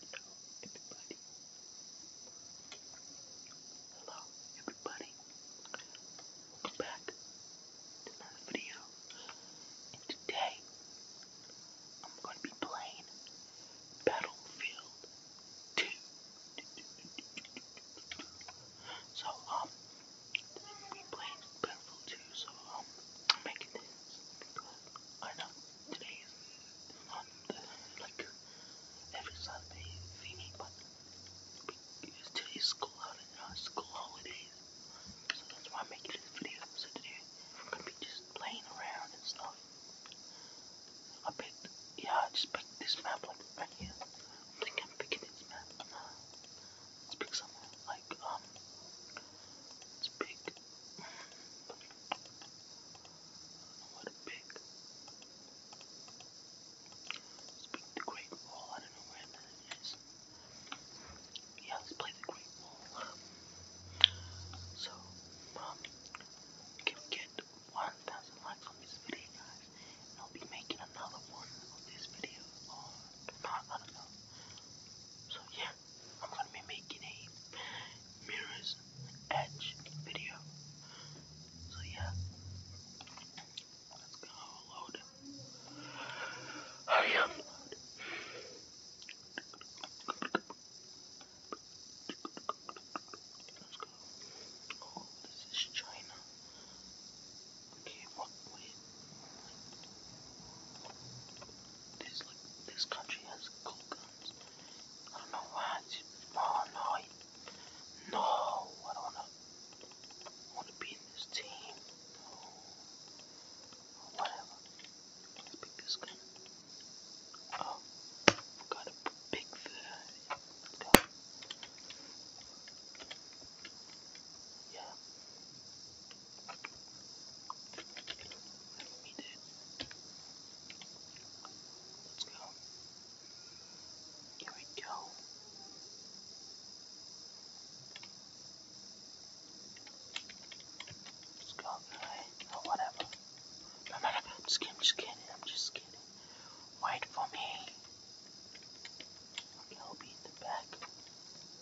Hello, everybody. Hello, everybody. Welcome back to another video. And today, I'm going to be playing Battlefield 2. So, um, we played Battlefield 2, so, um, I'm making this because I know today is not the, like every Sunday thingy, but because today is school holiday, not school holidays, so that's why I'm making this video. So today I'm gonna be just playing around and stuff. I picked, yeah, I just picked this map like right here. I think I'm picking this map. I'm, uh, let's pick something like um. It's big. What a big. It's big, the Great Wall. I don't know where that is. Yeah, let's play the Great Wall. So, um, can we get 1,000 likes on this video, guys? And I'll be making another one of this video, or not, I don't know. So, yeah. I'm gonna be making a mirrors edge video. So yeah, let's go load. Hurry oh, up. Let's go. Oh, this is China. Okay, what, this like this country has cool guns. I don't know why. Oh no, I, no, I don't wanna I wanna be in this team. No. Oh, whatever. Let's pick this gun. Oh, gotta pick the gun. Yeah. Let me do it. Let's go. Here we go. Let's go right. Oh whatever. No, no, no, I'm just kidding, I'm just kidding, I'm just kidding. Wait for me. Okay, I'll be in the back.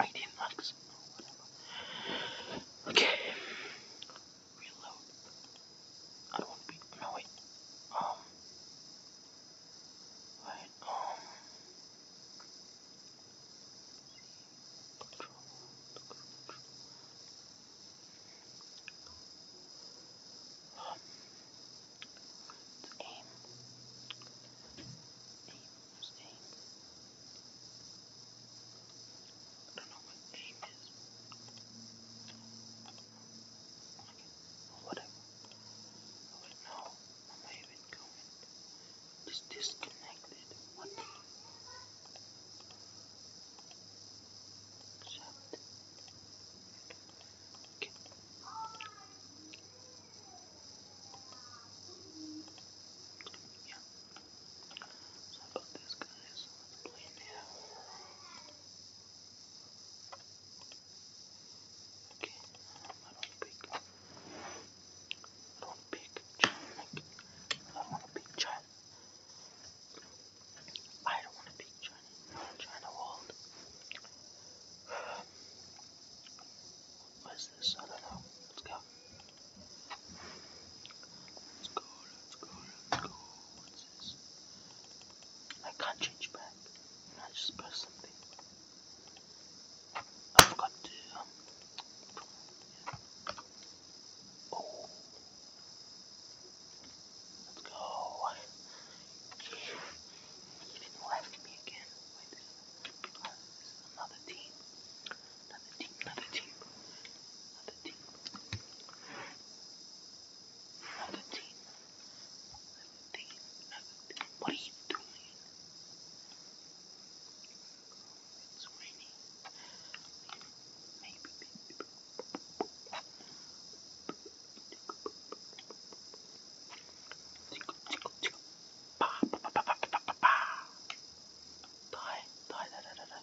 18 bucks or whatever. Okay. Reload. I don't want to be. No, wait. Um. Wait, um. Control. Control. Um, aim, aim, same. I don't know what aim is. Okay, whatever. I would know. I'm not even going. Just disconnected. What the? Shut. Okay. Yeah. So how about this, guys? Let's play now. Okay, I don't want to pick. I don't want to pick China. I don't want to pick China. I don't want to pick China. China World. Where's this? I don't know. Let's go. Let's go, let's go, let's go. What's this? I can't change back. I just press something. I forgot to, um, Oh. Let's go. He did left me again. Another team. Another team. Another team. Another team. Another team. Another team. Another team. What are you doing? It's raining. Maybe. Maybe. Tickle, tickle, tickle. Pa, pa, pa, pa, pa, pa, pa, pa. Die, die, die, die, die.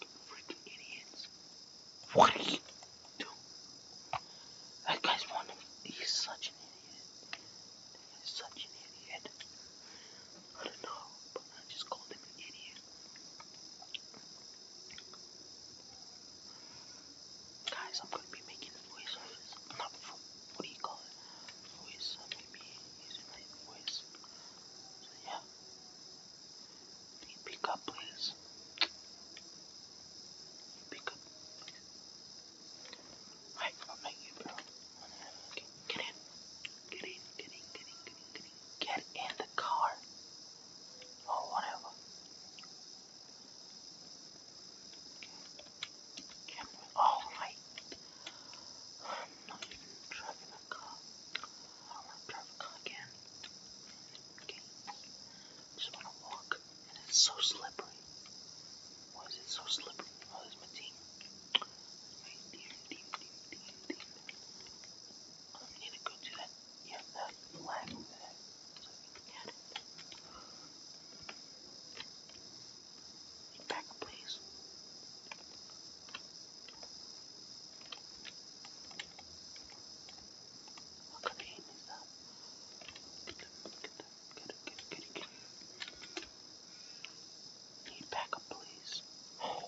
You freaking idiots. What are you doing? That guy's one of he's such an idiot. He's such an idiot. I don't know, but I just called him an idiot. Guys, I'm gonna be making voiceovers. Not vo what do you call it? Voice, uh, maybe using my voice. So yeah. Can you pick up, please? You pick up. Alright, I'll make you, bro. Okay, get in. Get in, get in, get in, get in, get in. Get in the car. Or oh, whatever. Camera. Oh right. I'm not even driving a car. I don't want to drive a car again. Okay. Just want to walk, and it's so slippery. Why is it so slippery? Oh, there's my team. My team, team, team, team, team. I need to go to that. Yeah, that flag over there. So Get it. Back, please. What kind of game is that? Get them, get them, get it, get it, get it, get it. Need backup, please. Oh.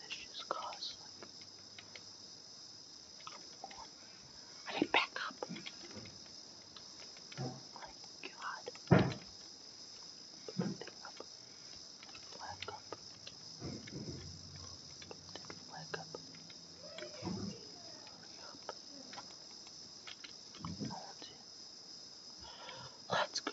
That's just costly. Come on. I need back up. Oh my god. Put that up. Black up. Put black up. Hurry up. That's it. Let's go.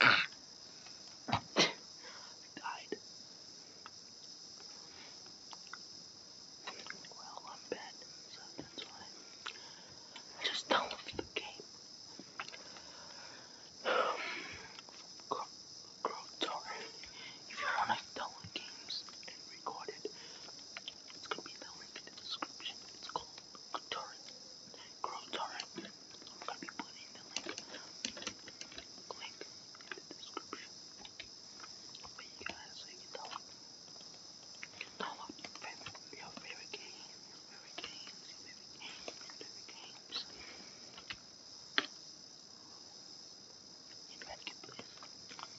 Died. Well, I'm bad, so that's why I just downloaded the game. Grow, grow If you want to download games and record it, it's gonna be the link in the description. It's called Guitar. Girl Torrent. I'm gonna be putting the link, link in the description. But you guys, so you can download, you can download your favorite, your favorite game, your favorite games, your favorite games, your favorite games. You guys can play.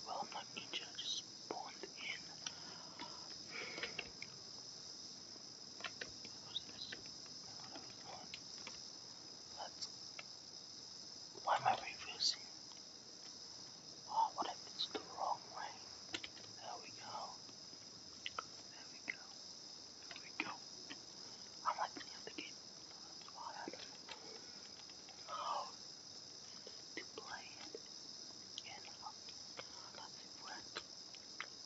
Well, I'm not injured. I just spawned in. That's why am I refusing? Oh, what if it's the wrong way? There we go. There we go. There we go. I'm like the other game. That's why I don't know to play it. You know, that's it work.